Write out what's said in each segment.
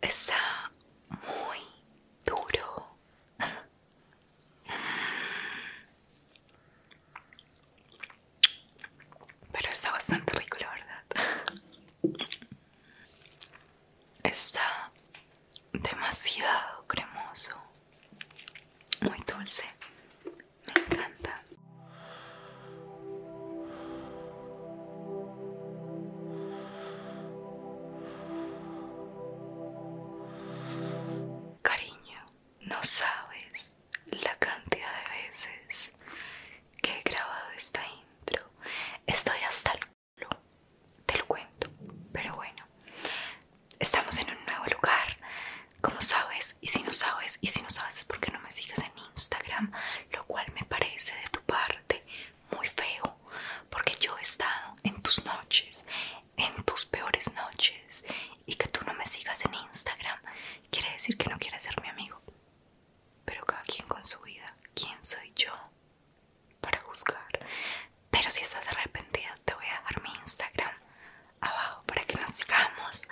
Está muy duro. Pero está bastante rico, la verdad. Está demasiado cremoso. Muy dulce. Me encanta. Cariño, no sabes la cantidad de veces que he grabado esta intro. Estoy hasta el culo, te lo cuento, pero bueno. Estamos en un nuevo lugar, como sabes, y si no sabes, y si no sabes es porque no me sigues en Instagram, lo cual me parece de tu parte muy feo, porque yo he estado en tus noches, en tus peores noches, y que tú no me sigas en Instagram quiere decir que no quieres ser mi amigo. Pero cada quien con su vida, ¿quién soy yo para juzgar? Pero si estás arrepentida, te voy a dar mi Instagram abajo para que nos sigamos.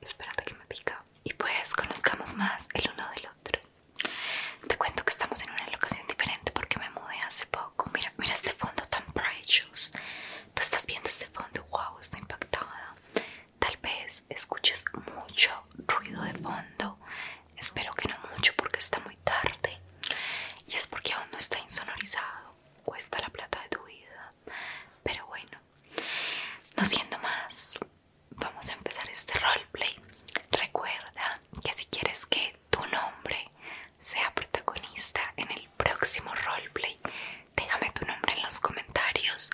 Espérate que me pica y pues conozcamos más el uno del otro. Te cuento que estamos en una locación diferente porque me mudé hace poco. Mira, mira este fondo tan precioso ¿Tú estás viendo este fondo? Wow, está impactada. Tal vez escuches mucho ruido de fondo. Espero que no mucho porque está muy tarde. Y es porque aún no está insonorizado. Cuesta la plata de tu vida. Pero bueno, no siendo más vamos a empezar este roleplay. Recuerda que si quieres que tu nombre sea protagonista en el próximo roleplay, déjame tu nombre en los comentarios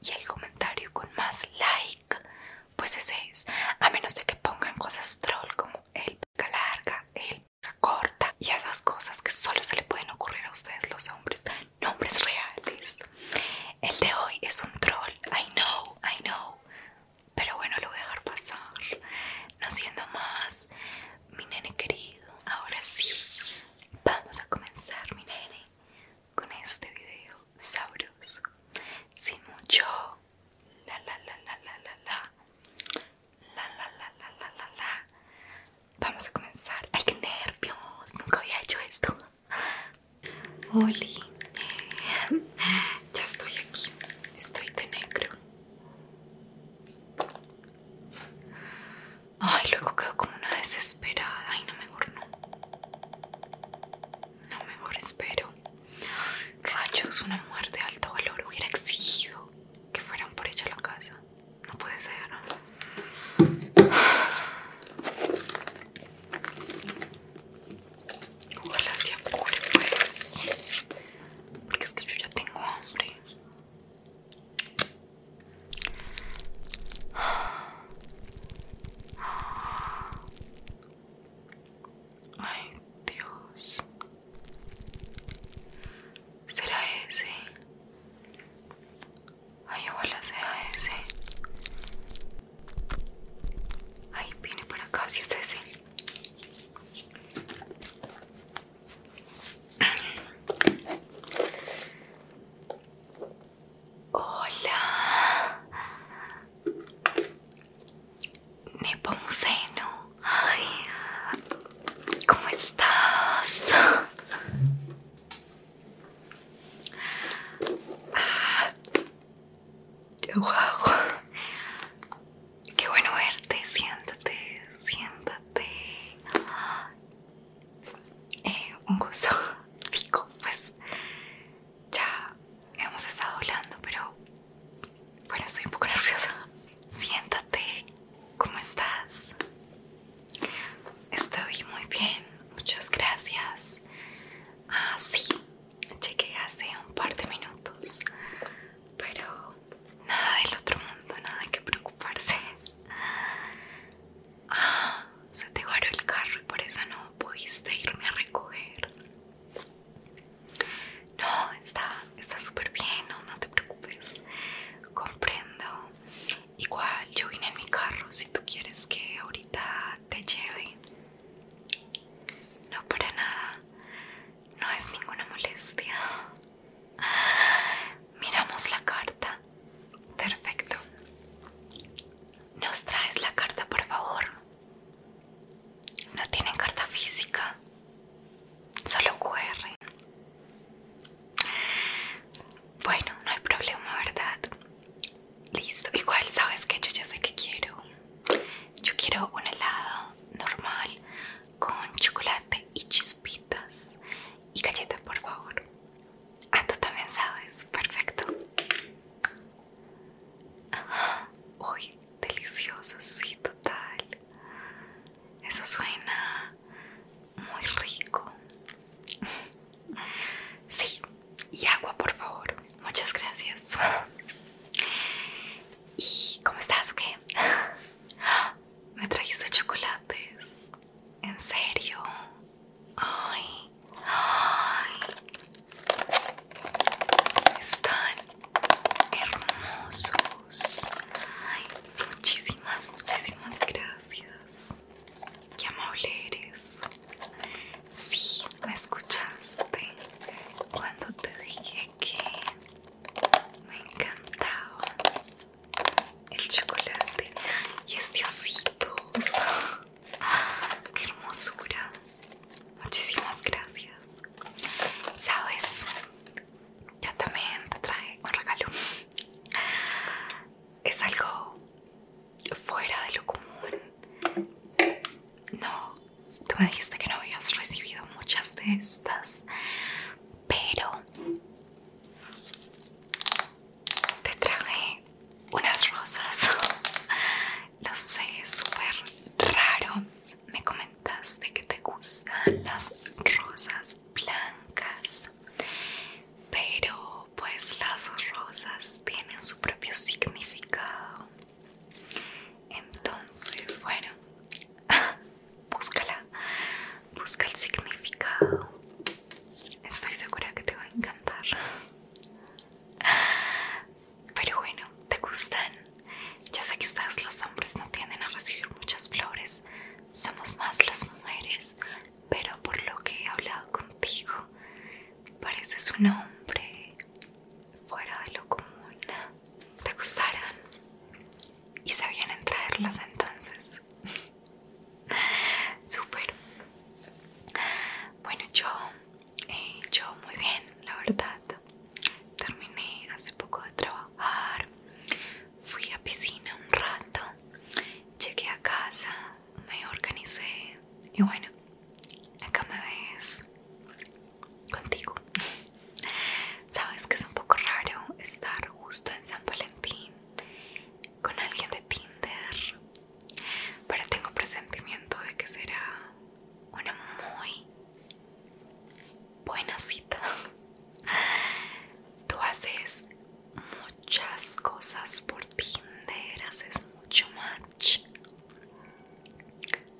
y el comentario con más like, pues ese es, a menos de que pongan cosas troll como el pica larga, el pica corta y esas cosas que solo se le pueden ocurrir a ustedes los hombres, nombres reales. El de hoy es un troll, I know, I know pero bueno lo voy a dejar pasar no siendo más mi nene querido ahora sí vamos a comenzar mi nene con este video sabroso sin mucho la la la la la la la la la la la la vamos a comenzar ay que nervios nunca había hecho esto Oli, ya estoy aquí, estoy de negro. Ay, luego quedo como una desesperada. Ay, no, mejor no. No, mejor espero. Rayos, una muerte de alto valor. Hubiera exigido que fueran por ella la casa. No puede ser. Ojalá sea apure pues Porque es que yo ya tengo hambre Ay Dios ¿Será ese? Ay ojalá sea ese Ay, viene para acá, si es ese. Hola. Nepomuceno. Ay, ¿cómo estás? Ah, Wow. Qué bueno verte. Siéntate, siéntate. Eh, un gusto, Pico. Pues ya hemos estado hablando, pero bueno, estoy un poco nerviosa. Siéntate. ¿Cómo estás? Estoy muy bien. Muchas gracias. Ah, sí. Chequé hace un par de minutos, pero nada del otro mundo, nada que preocuparse. Ah, se te varó el carro y por eso no pudiste irme a recoger. No, está súper bien, no, no te preocupes. Comprendo. Igual yo vine en mi carro si tú quieres que ahorita te lleve no, para nada. No es ninguna molestia. Miramos la carta. Perfecto. ¿Nos traes la carta, por favor? No tienen carta física. Solo QR. Bueno, no hay problema, ¿verdad? Listo, igual sabes que yo ya sé que quiero. Yo quiero un helado normal con chocolate y chispitas y galletas, por favor. Ah, tú también sabes, perfecto. uy, delicioso, sí, total. Eso suena muy rico. Sí, y agua, por favor. Muchas gracias. ¿Y cómo estás? ¿Qué? Me trajiste chocolates. ¿En serio? Ay, Están hermosos. Ay, muchísimas, muchísimas gracias. Qué amable eres. Sí, me escuchaste cuando te dije que me encantaba el chocolate y estos ositos ¡Qué hermosura! Muchísimas gracias. ¿Sabes? Yo también te traje un regalo. Es algo fuera de lo común. No, tú me dijiste que no habías recibido muchas de estas, pero te traje unas rosas. Lo sé, es súper raro. Me comentaste que te gustan las rosas blancas, pero pues las rosas tienen su propio significado. Entonces, bueno, búscala, busca el significado. Estoy segura que te va a encantar. Pero bueno, ¿te gustan? Ya sé que ustedes los hombres no tienden a recibir muchas flores, somos más las mujeres, pero por lo que he hablado contigo, Pareces un hombre fuera de lo común. ¿Te gustaron? ¿Y sabían en traerlas entonces? Súper. Bueno, yo, eh, yo muy bien, la verdad. Terminé hace poco de trabajar. Fui a piscina un rato. Llegué a casa me organicé y bueno, acá me ves contigo. Sabes que es un poco raro estar justo en San Valentín con alguien de Tinder, pero tengo presentimiento de que será una muy buena cita. Tú haces muchas cosas por Tinder, haces mucho más Sí.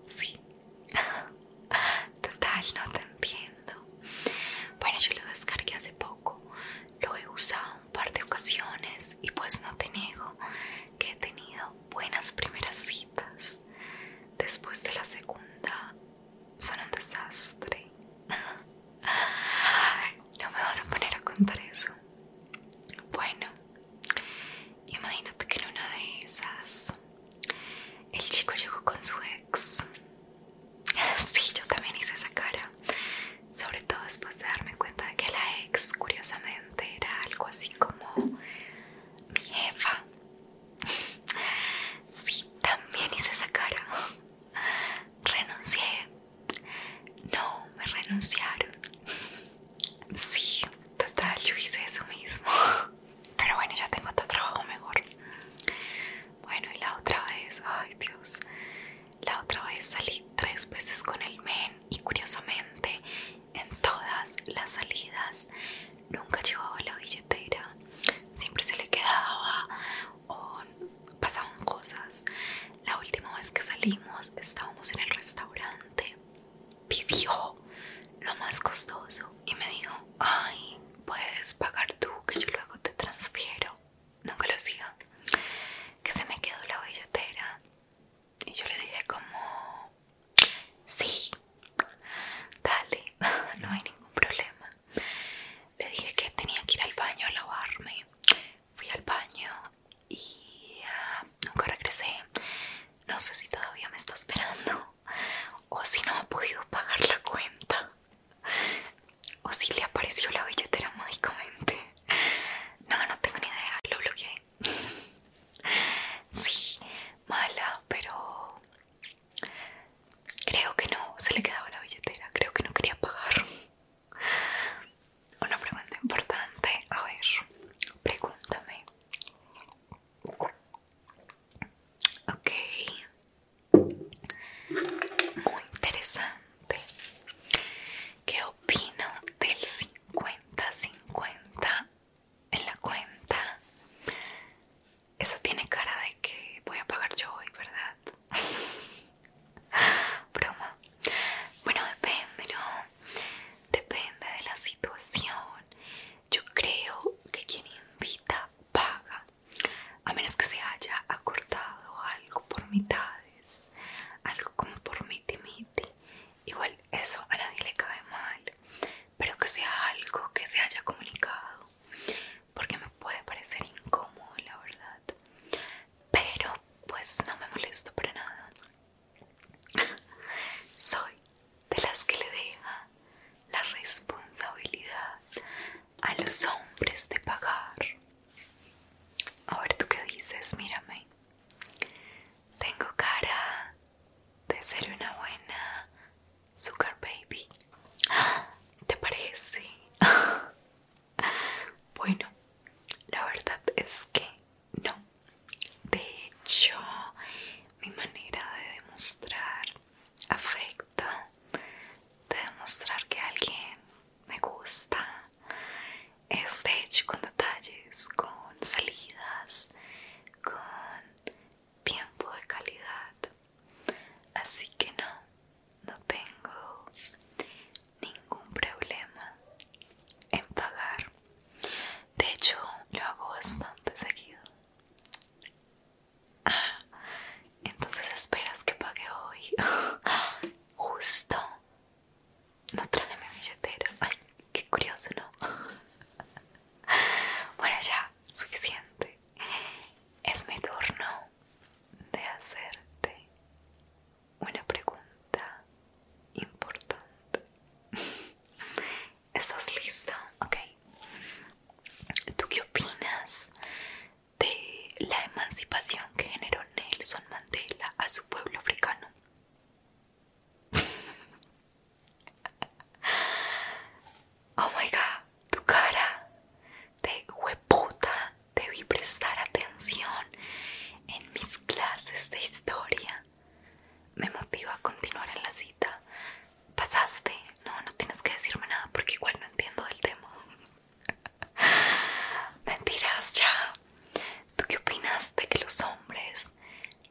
Total, no te entiendo. Bueno, yo lo descargué hace poco. Lo he usado un par de ocasiones y pues no te niego que he tenido buenas primeras citas. Después de la segunda son un desastre. No me vas a poner a contar eso. Bueno, Imagínate que en una de esas el chico llegó con su ex. Sí, yo también hice esa cara. Sobre todo después de darme cuenta de que la ex, curiosamente, era algo así como mi jefa. Sí, también hice esa cara. Renuncié no, me renunciaron. Sí, total, yo hice eso mismo. Pero bueno, ya tengo otro trabajo mejor. Bueno, y la otra vez, ay Dios, la otra vez salí tres veces con el men y curiosamente en todas las salidas nunca llevaba la billetera. Siempre se le quedaba o pasaban cosas. La última vez que salimos estábamos en el restaurante. Pidió lo más costoso y me dijo, ay, puedes pagar tú que yo luego te transfiero. Nunca lo hacía. Que se me quedó la billetera. Y yo le dije como, sí, dale, no hay ningún problema. Le dije que tenía que ir al baño a lavarme fui al baño y ah, nunca regresé. No sé si todavía me está esperando o si no ha podido pagar la cuenta o si le apareció la billetera mágicamente. No, no tengo ni idea, lo bloqueé. Sí, mala, pero creo que no, se le quedaba la billetera, creo que no quería pagar. Una pregunta importante, a ver, pregúntame. Ok, muy interesante. ¿Qué opino del 50-50 en la cuenta? Eso tiene cara de que voy a pagar yo hoy, ¿verdad? Broma. Bueno, depende, ¿no? Depende de la situación. Yo creo que quien invita paga. A menos que se haya acordado algo por mitades. Algo como por miti miti. Igual eso a nadie le cae mal. Pero que sea algo que se haya comunicado. Porque me puede parecer incómodo, la verdad pero pues no me molesto para nada. Soy de las que le deja la responsabilidad a los hombres de pagar. A ver tú qué dices, mírame. Tengo cara de ser una buena Sugar Baby. ¿Te parece? Bueno, la verdad es que no. De hecho, mi manera de demostrar afecto, de demostrar que alguien me gusta, es de hecho con detalles, con salidas, con tiempo de calidad. Así que no, no tengo ningún problema en pagar. De hecho, lo hago bastante seguido. Ah, entonces esperas que pague hoy. Justo. No traje mi billetera. Ay, qué curioso, ¿no? Bueno, ya, suficiente. Es mi turno de hacerte una pregunta importante. ¿Estás listo? Ok. ¿Tú qué opinas de la emancipación que generó Nelson Mandela a su pueblo africano? oh my god, tu cara de hueputa debí prestar atención en mis clases de historia. Me motiva a continuar en la cita. Pasaste. No, no tienes que decirme nada porque igual no entiendo del tema. Mentiras ya. ¿Tú qué opinas de que los hombres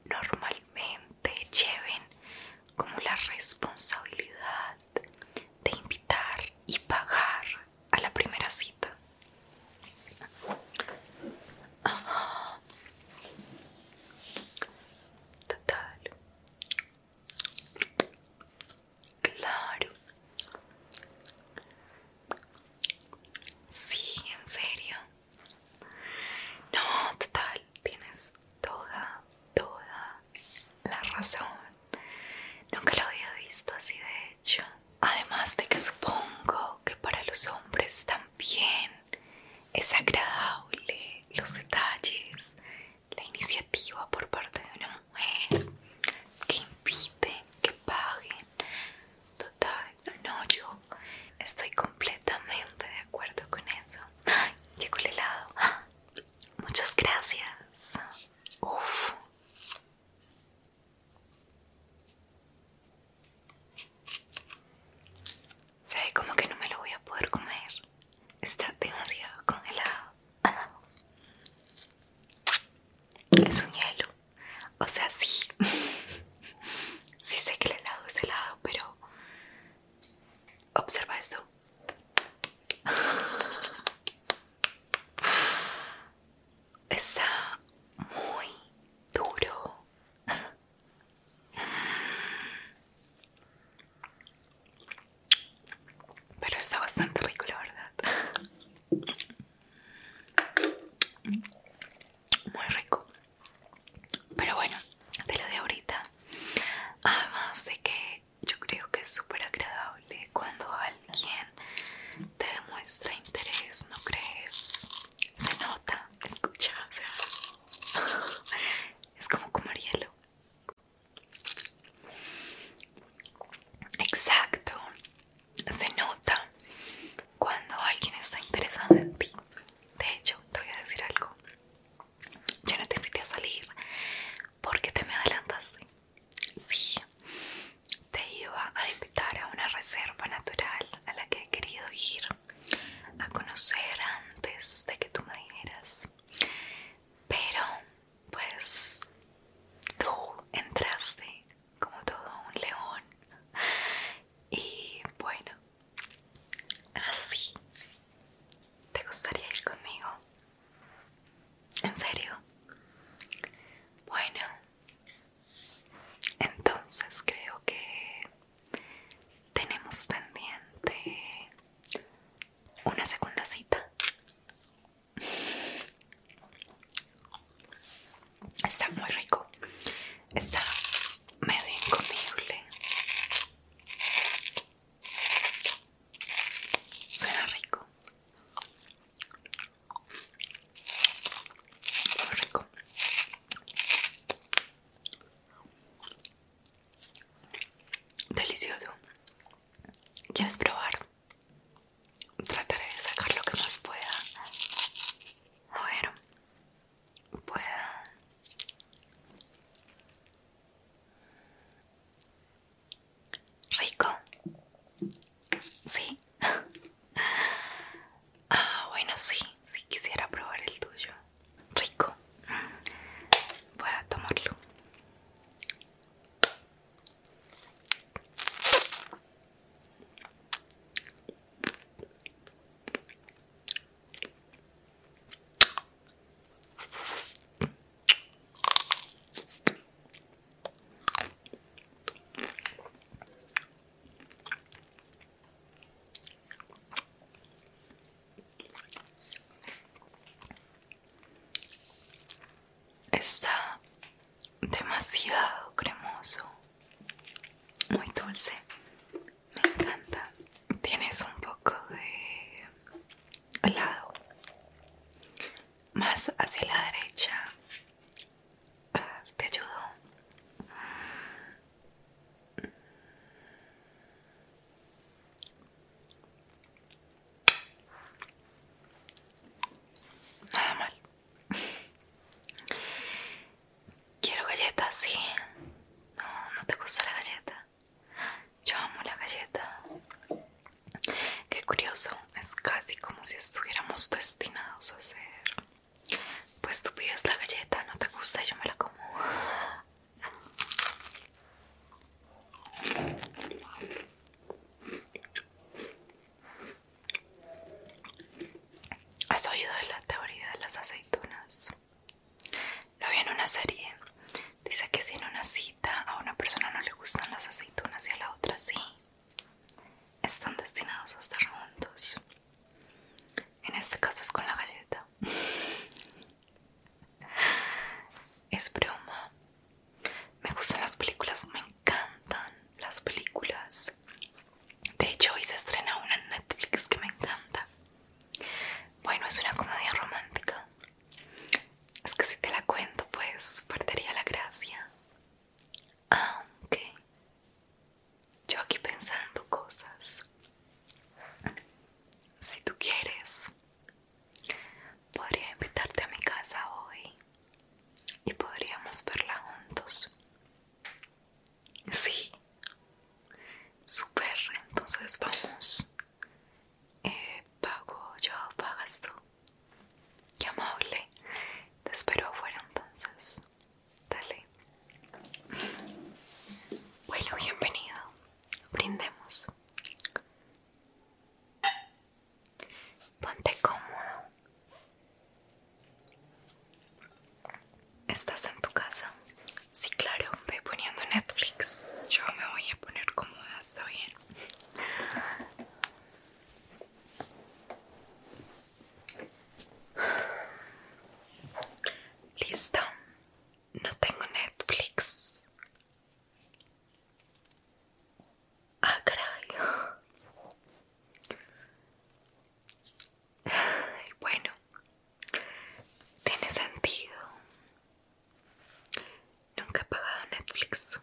normalmente lleven como la responsabilidad de invitar y pagar a la primera cita. Total. Claro. Sí, en serio. No, total, tienes toda, toda la razón. Nunca lo había visto así, de hecho. Además de que supongo que para los hombres también es agradable los detalles, la iniciativa por parte de una mujer que inviten, que paguen. Total, no, no, yo estoy completamente de acuerdo con eso. ¡Ay, llegó el helado. Muchas gracias. Uf. Sabe como que no me lo voy a poder comer. Está demasiado congelado. Es un hielo. O sea, sí. sí sé que el helado es helado, pero... Observa esto está muy duro. Pero está bastante rico, la verdad. Muy rico. Pero bueno, de lo de ahorita. Además de que yo creo que es súper agradable cuando alguien te demuestra interés, ¿no crees? Se nota, escucha, es como comer hielo. Exacto, se nota cuando alguien está interesado en ti. De hecho, te voy a decir algo. Yo no te invité a salir porque te me adelantaste. Sí, te iba a invitar a una reserva natural a la que he querido ir a conocer antes de que tú me dijeras. Pero, pues, tú entraste como todo un león. Y bueno, así. ¿Te gustaría ir conmigo? ¿En serio? Bueno, entonces creo que tenemos pendiente una segunda cita. Está muy rico. Está medio incomible. Suena rico rico. Delicioso. ¿Quieres probar? Trataré de sacar lo que más pueda. A ver, pueda. Rico. Sí. ah, bueno, sí, sí quisiera probar el tuyo. Rico. Voy a tomarlo. Está demasiado cremoso, muy dulce, me encanta. Tienes un poco de helado, más hacia la derecha Ah, te ayudo. Nada mal. Quiero galletas, sí. No, no te gusta la galleta. Yo amo la galleta. Qué curioso, es casi como si estuviéramos destinados a ser. Pues tú pides la galleta, no te gusta, yo me la como. ¿Has oído de la teoría de las aceitunas? Lo vi en una serie. Dice que si en una cita a una persona no le gustan las aceitunas y a la otra sí están destinados a estar juntos. En este caso es con la galleta. Es broma. Me gustan las películas, me encantan las películas. De hecho, hoy se estrena una en Netflix que me encanta. Bueno, es una comedia romántica. Es que si te la cuento, pues perdería la gracia. Aunque ah, yo aquí pensando cosas. Si tú quieres, podría invitarte a mi casa hoy y podríamos verla juntos. Sí. Super, entonces vamos. Eh, pago yo, pagas tú. Qué amable. Te espero afuera entonces. Dale. Bueno, bienvenido. Brindemos. Ponte cómodo. ¿Estás en tu casa? Sí, claro. Voy poniendo Netflix. Yo me voy a poner cómoda, está bien. Listo, no tengo Netflix. Ah, Bueno, tiene sentido. Nunca he pagado Netflix.